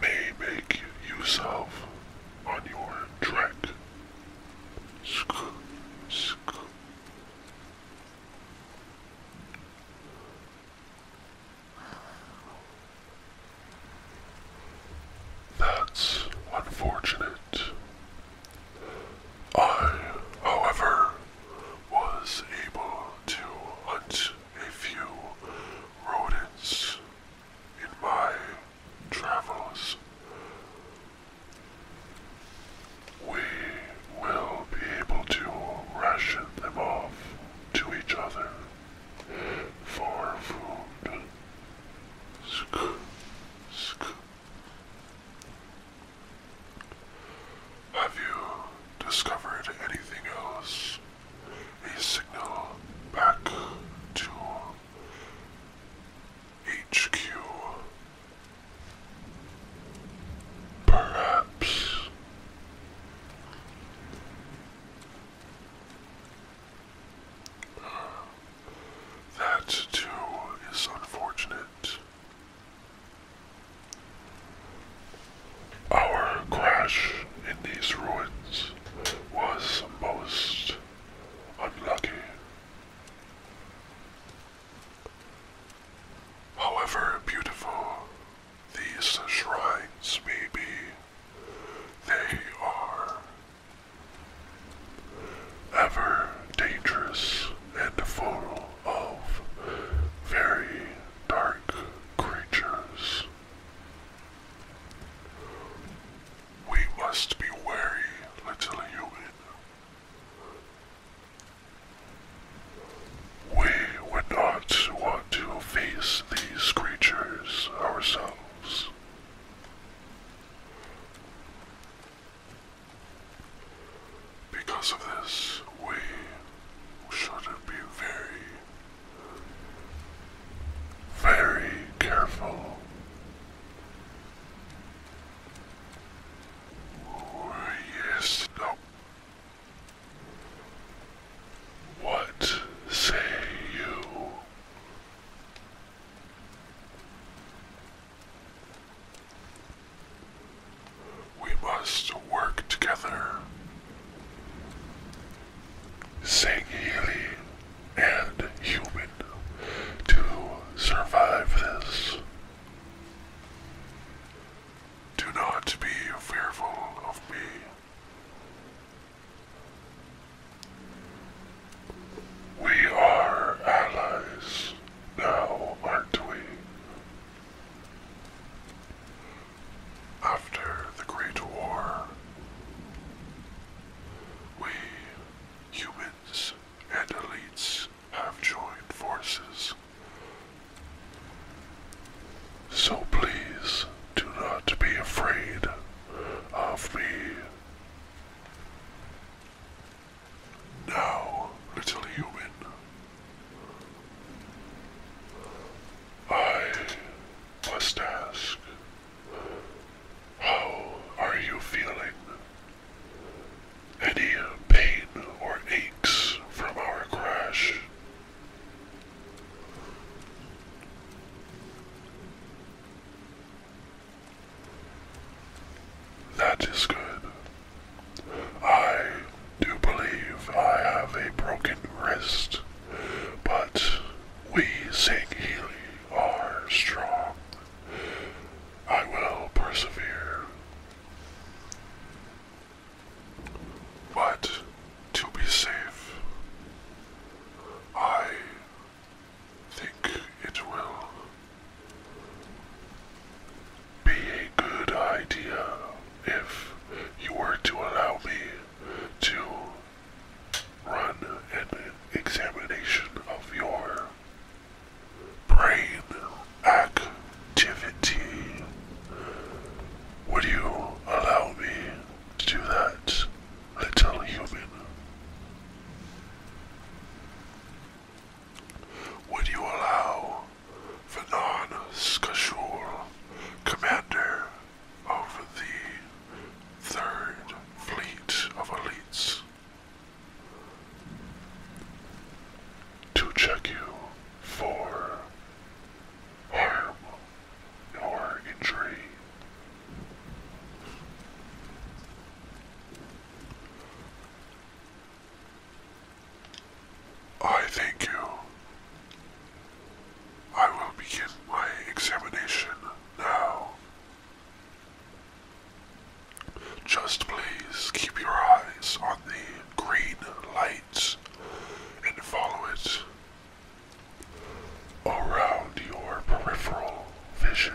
may make use of on your trek. That's unfortunate. I, however, was able to hunt a few rodents in my travels. We will be able to ration them off to each other for food. Have you discovered anything else a signal back to HQ. Perhaps that too is unfortunate. Our crash in these ruins Jones was most unlucky. However beautiful these shrines may be, they are ever dangerous and full of very dark creatures. We must be wary, little human. We would not want to face these creatures ourselves. Because of this, we should be very very careful. yes, no. What say you? We must work together. Sangheili, and human to survive this. Do not be fearful of me. We are allies now, aren't we? after the Great War. We, humans and elites, have joined forces. So please do not be afraid of me. Now, little human, I must ask how are you feeling? Any uh, pain or aches from our crash? That is good. I do believe I have a broken wrist, but we sing, Sangheili are strong. I will persevere. But to be safe, I think it will be a good idea if you were to allow me to run an examination of your brain activity. Would you allow me to do that, little human? Would you allow Fanon Skashul, commander of the Third Fleet of Elites to check you for harm or injury. I thank you I will begin my examination now. Just please keep your eyes on the green light and follow it around your peripheral vision.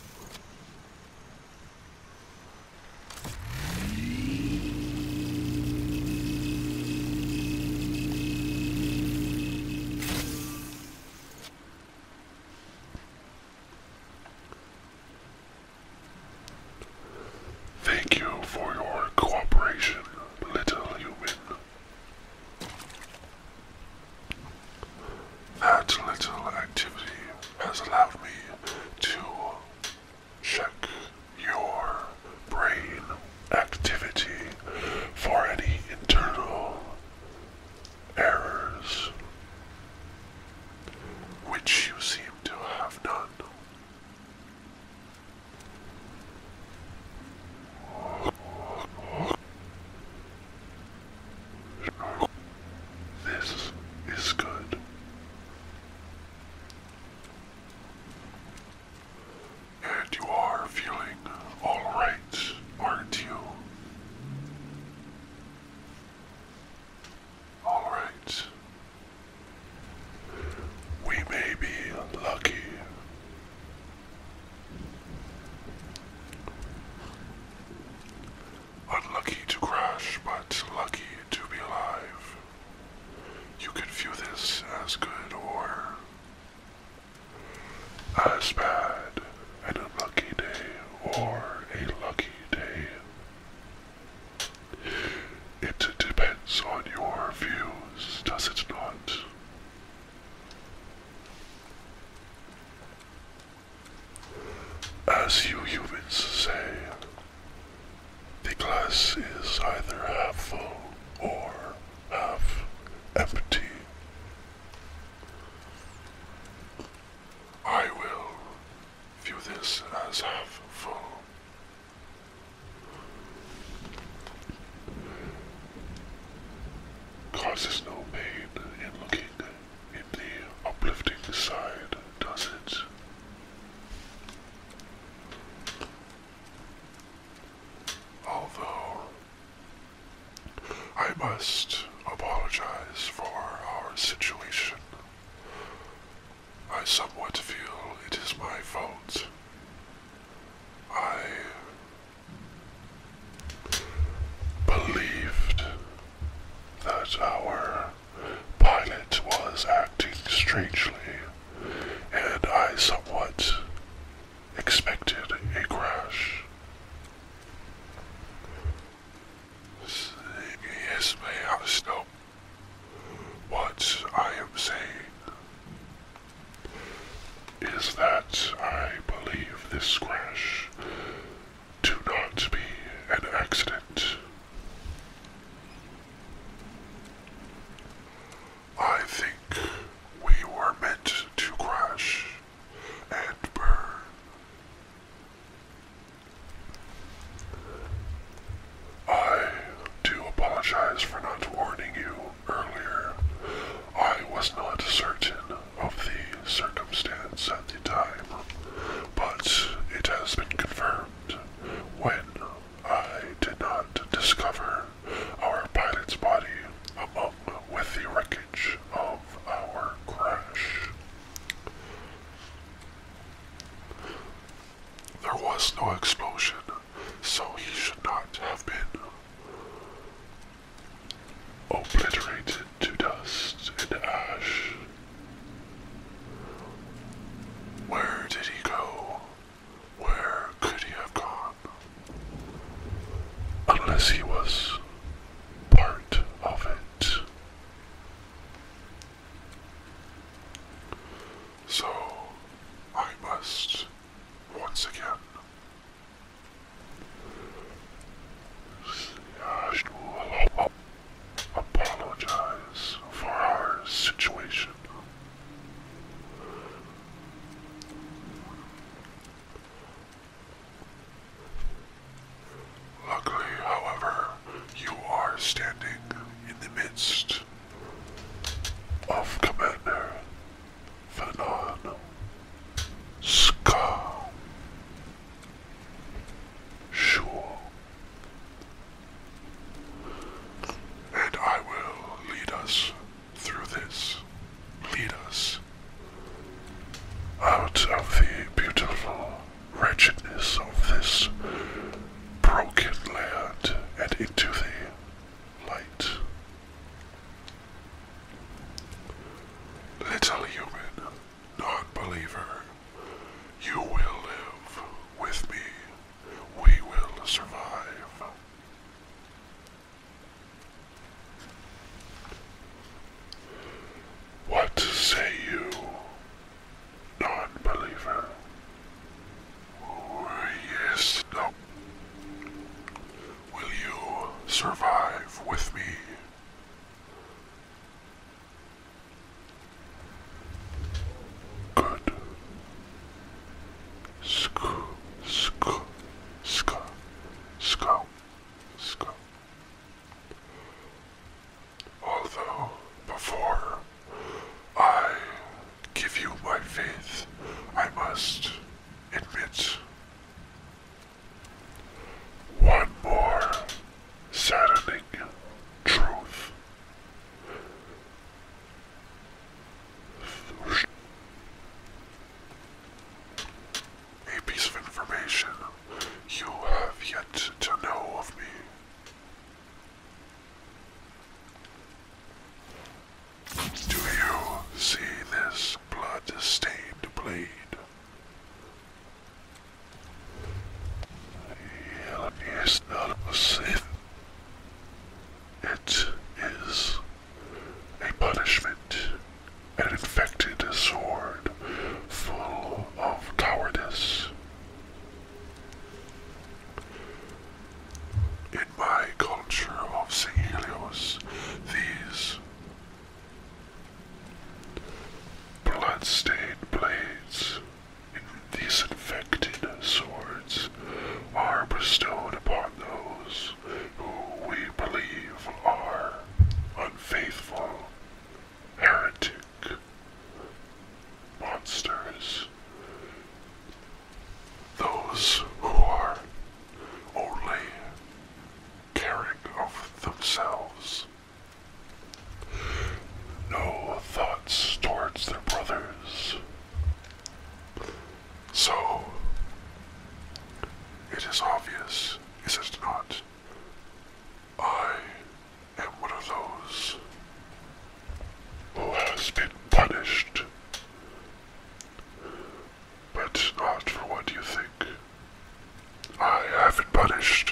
Thank you for your cooperation, little human. That little activity has allowed me to check your brain activity for any internal errors, which you seem to have none. This is good. And you are feeling all right, aren't you? All right. We may be lucky Unlucky to crash, but lucky to be alive. You could view this as good or as bad, an unlucky day or a lucky day. It depends on your views, does it not? As you humans say, the glass is either half full or half empty. I will view this as half full. Causes no pain in looking anything in the uplifting side, does it? Although, I must apologize for our situation. I somewhat feel it is my fault. I believed that our pilot was acting strangely, and I somewhat expected a crash. Yes, may I stop what I am saying? is that I believe this crash to not be an accident. I think we were meant to crash and burn. I do apologize for not warning you earlier. I was not certain of the circumstance at the time, but it has been confirmed when I did not discover our pilot's body among with the wreckage of our crash. There was no explosion, so he should not have been obliterated to dust and ash. Where did he go? Where could he have gone? Unless he was part of it. So I must once again I will apologize for our situation. Luckily, however, you are standing in the midst of Commander phenomenal skull sure and I will lead us through this lead us out of the beautiful wretchedness of this broken land and into the light Little human, non believer, you will live with me. We will survive. What say you, non believer? Oh, yes, no. Will you survive with me? Good. Sk, sk, sk, sk, sk. Although, before I give you my faith, I must admit one more saddening truth. A piece of information you have yet to know of me. Do you see this blood that stained the blade. Hell not a sin. It is a punishment, an infected sword full of cowardice. In my culture of St. these Blood-stained blades and disinfected swords are bestowed upon those who we believe are unfaithful, heretic, monsters. Those who are only caring of themselves. No thoughts towards their brothers. So, it is obvious, is it not? I am one of those who has been punished but not for what you think. I have been punished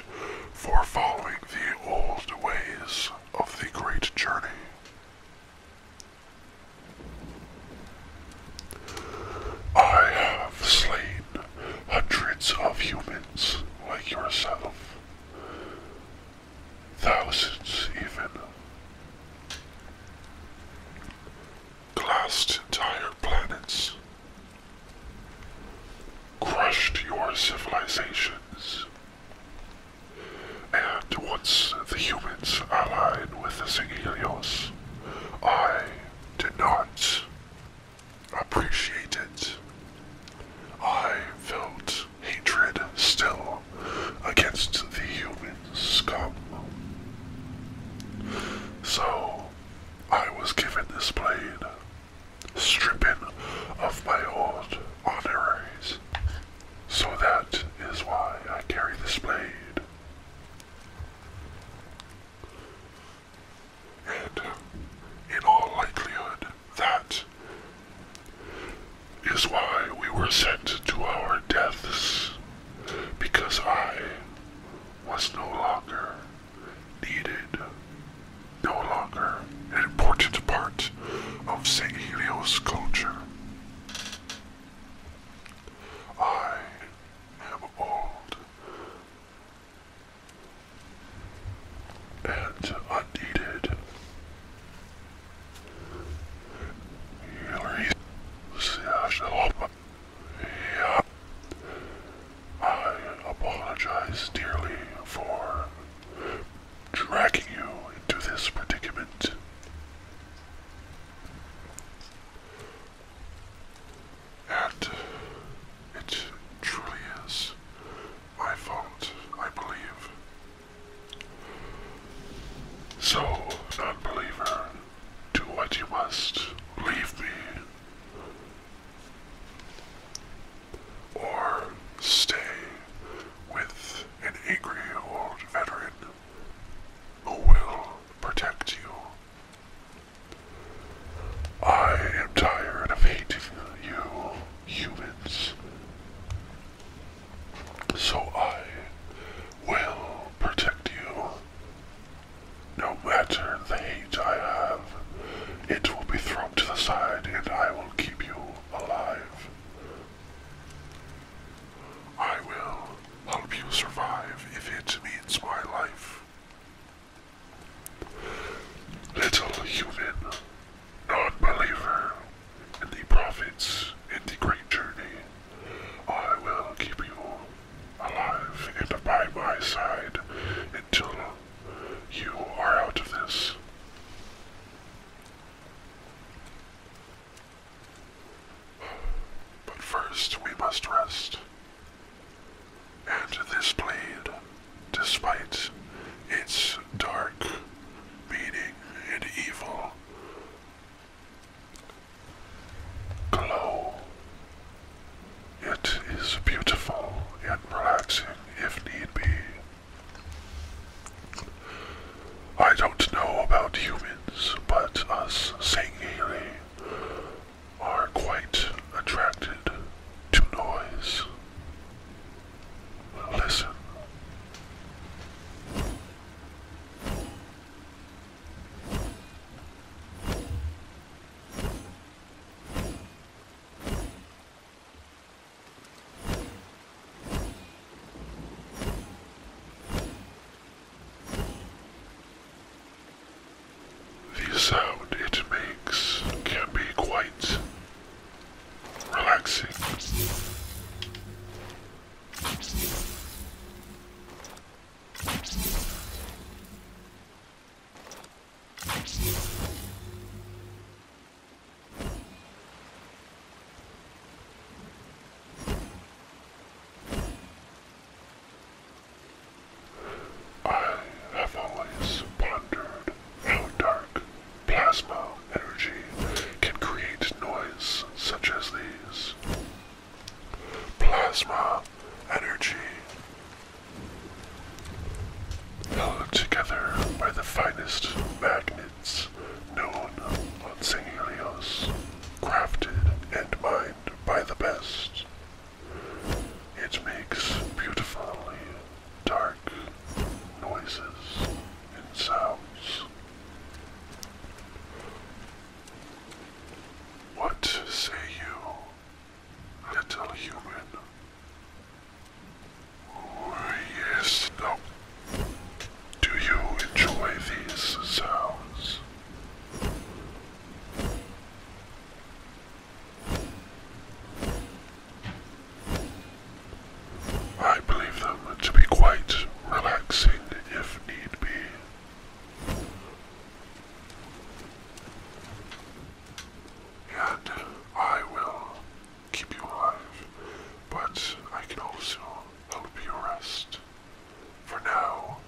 for following the old ways of the great journey. I have slain hundreds of humans like yourself, thousands even glassed entire planets, crushed your civilizations, and once the humans allied with the Sigilios, I did not appreciate it. I felt hatred still against the human scum. So, I was given this blade, stripping of my old honoraries. So that is why I carry this blade. And in all likelihood, that is why we were sent to our deaths, because I was no longer needed. No longer an important part of St. Helio's culture. I am old and unneeded. Hillary, I apologize dearly for dragging you into this predicament. And it truly is my fault, I believe. So, non believer, do what you must. Leave me. Or stay with an angry old veteran who will protect you. I am tired of hating you humans. So I will protect you. No matter the hate I have, it will be thrown to the side and I will keep you alive. I will help you survive if it means my life. Little human, non-believer in the prophets and the great journey. I will keep you alive and by my side until you are out of this. But first we must rest. And this blade, despite its dark meaning and evil, glow. It is beautiful and relaxing if need be. I don't know about humans, but us Sangheili are quite attracted to noise. Listen. The sound it makes can be quite relaxing. I have always pondered how dark plasma energy can create noise such as these plasma energy held together by the finest magnets known on Singelios, crafted and mined by the best. It makes beautifully dark noises and sounds. What say you, little human? Oh, yes, no. Do you enjoy these sounds? I believe them to be quite relaxing if need be. And I will keep you alive, but I can also help you rest. For now,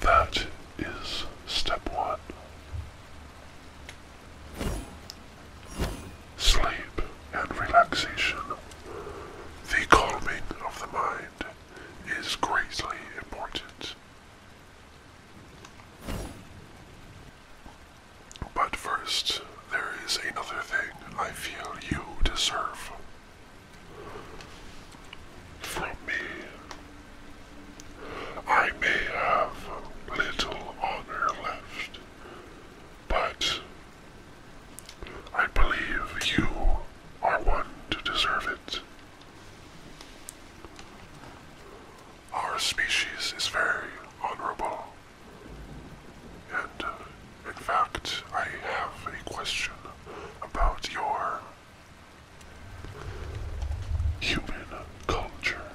that is step one. Sleep and relaxation, the calming of the mind is greatly important. But first, there is another thing I feel you deserve from me. I may have little honor left, but I believe you are one to deserve it. Our species is very honorable. And uh, in fact, I have a question about your human culture,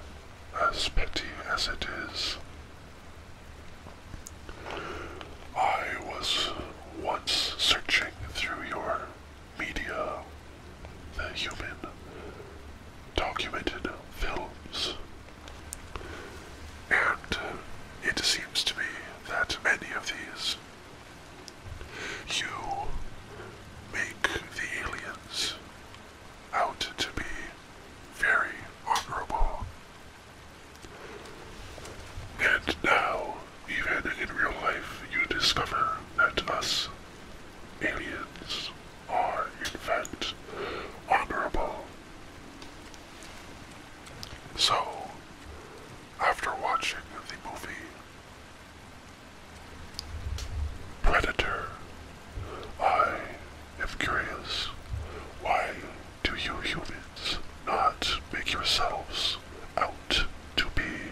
as petty as it is. I was once searching through your media, the human documented films, and it seems to me that many of these you make the aliens out to be very honorable and now, even in real life, you discover that us aliens are, in fact, honorable. So, after watching the movie Predator, I am curious why do you humans not make yourselves out to be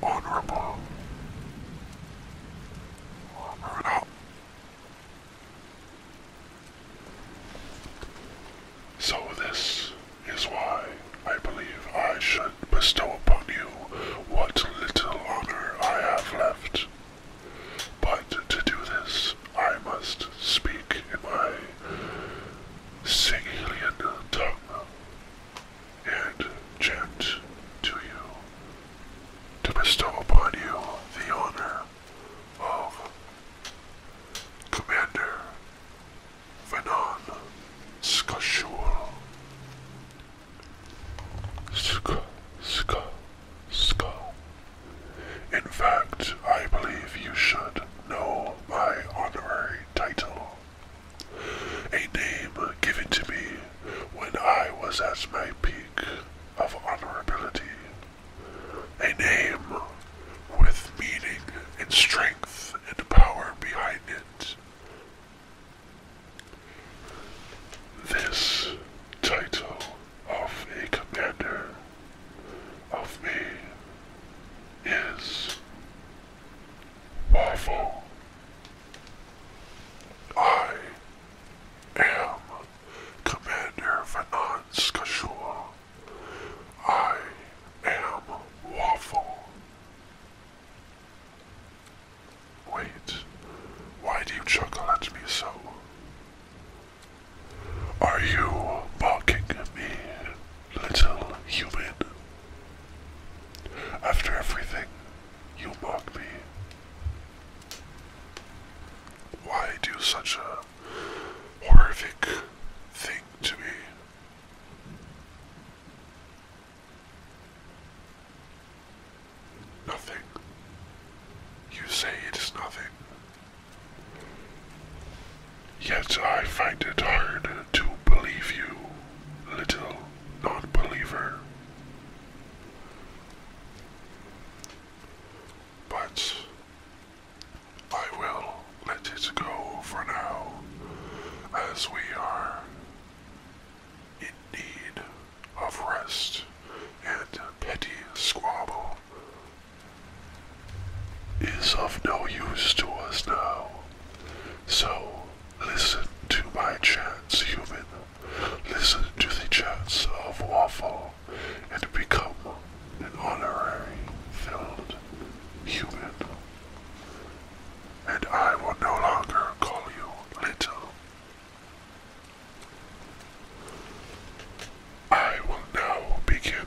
honorable? So this is why I believe I should bestow upon you what little honor I have left. But to do this, I must speak in my sing alien tongue and chant to you to bestow upon you the honor of Commander Venon Skashul. Ska, ska, ska. In fact, I believe you should know my honorary title, a name given to me when I was at my peak of honorability, a name with meaning and strength and power behind it. This title of a commander of me is awful. I am Commander Vanan Skashul. I am Waffle. Wait, why do you chuckle at me so? Are you mocking me, little human? After everything, you mock me. Why do such a horrific thing to me? Nothing. You say it is nothing. Yet I find it hard to believe you, little non believer. But I will let it go for now, as we are in need of rest and petty squabble is of no use to us now. So listen to my chants, human. Listen to the chants of Waffle and become an honorary filled human. And I will no longer call you little. I will now begin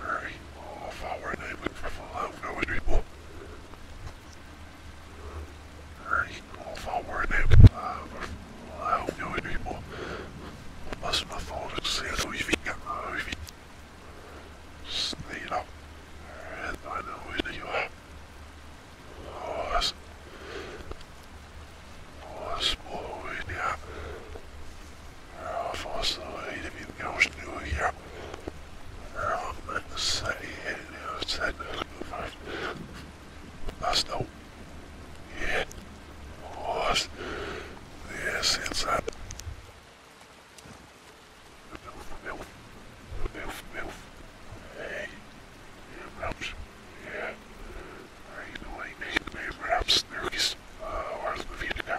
Very all of our neighbors from our village people. Very all of our neighbors uh, from our village people. Must have thought it said we've got movie. Sneed up. And I know where you are. Oh, that's. Oh, that's more in here. Force away to be the ghost new year. Wrong man society and you said that's no yeah was yes it's that Yeah, I know I need to be perhaps nervous, uh, or the video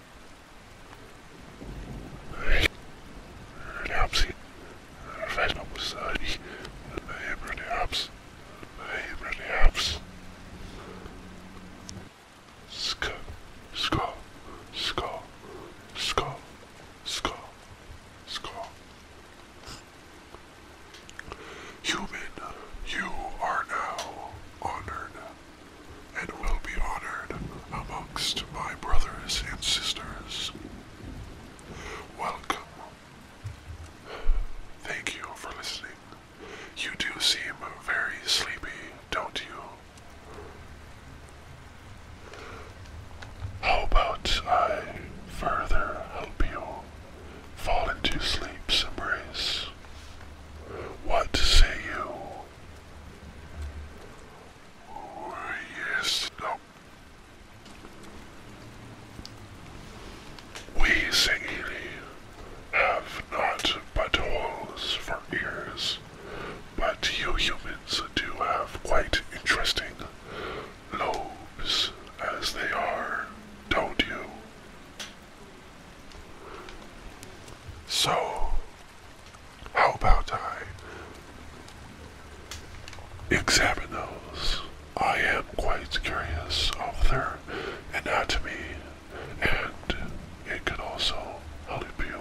Рябси. Верно му сари. Name Relyabs. Name Relyabs. Sk. Sk. Sk. Sk. Sk. Sk. Human, you are now honored and will be honored amongst my brothers and sisters. Welcome. Thank you for listening. You do seem very sleepy, don't you? How about I further help you fall into sleep's embrace? What say you? yes, We Saili have not but holes for ears, but you humans do have quite interesting lobes as they are, don't you? So, how about I examine those? I am quite curious of their anatomy, and it could also help you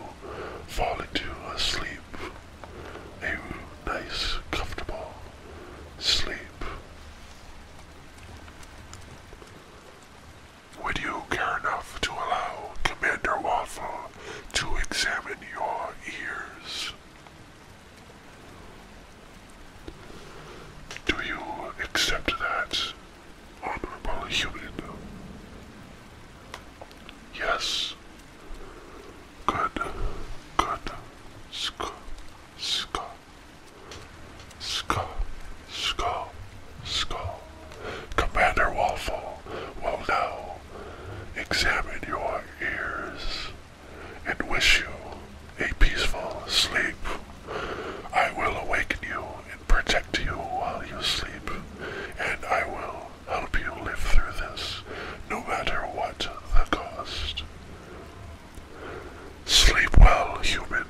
fall into a sleep, a nice, comfortable sleep. Would you care enough to allow Commander Waffle to examine your ears? Do you accept that, honorable human? Yes. Good. Good. Ska. Ska. Ska. Ska. Ska. Commander Waffle will now examine your ears and wish you a peaceful sleep. I will awaken you and protect you while you sleep, and I will help you live through this, no matter what the cost. Sleep well, human,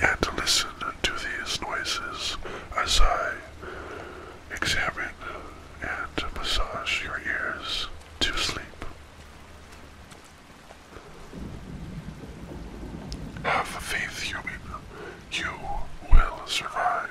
and listen to these noises as I examine, and massage your ears to sleep. Have faith, human. You will survive.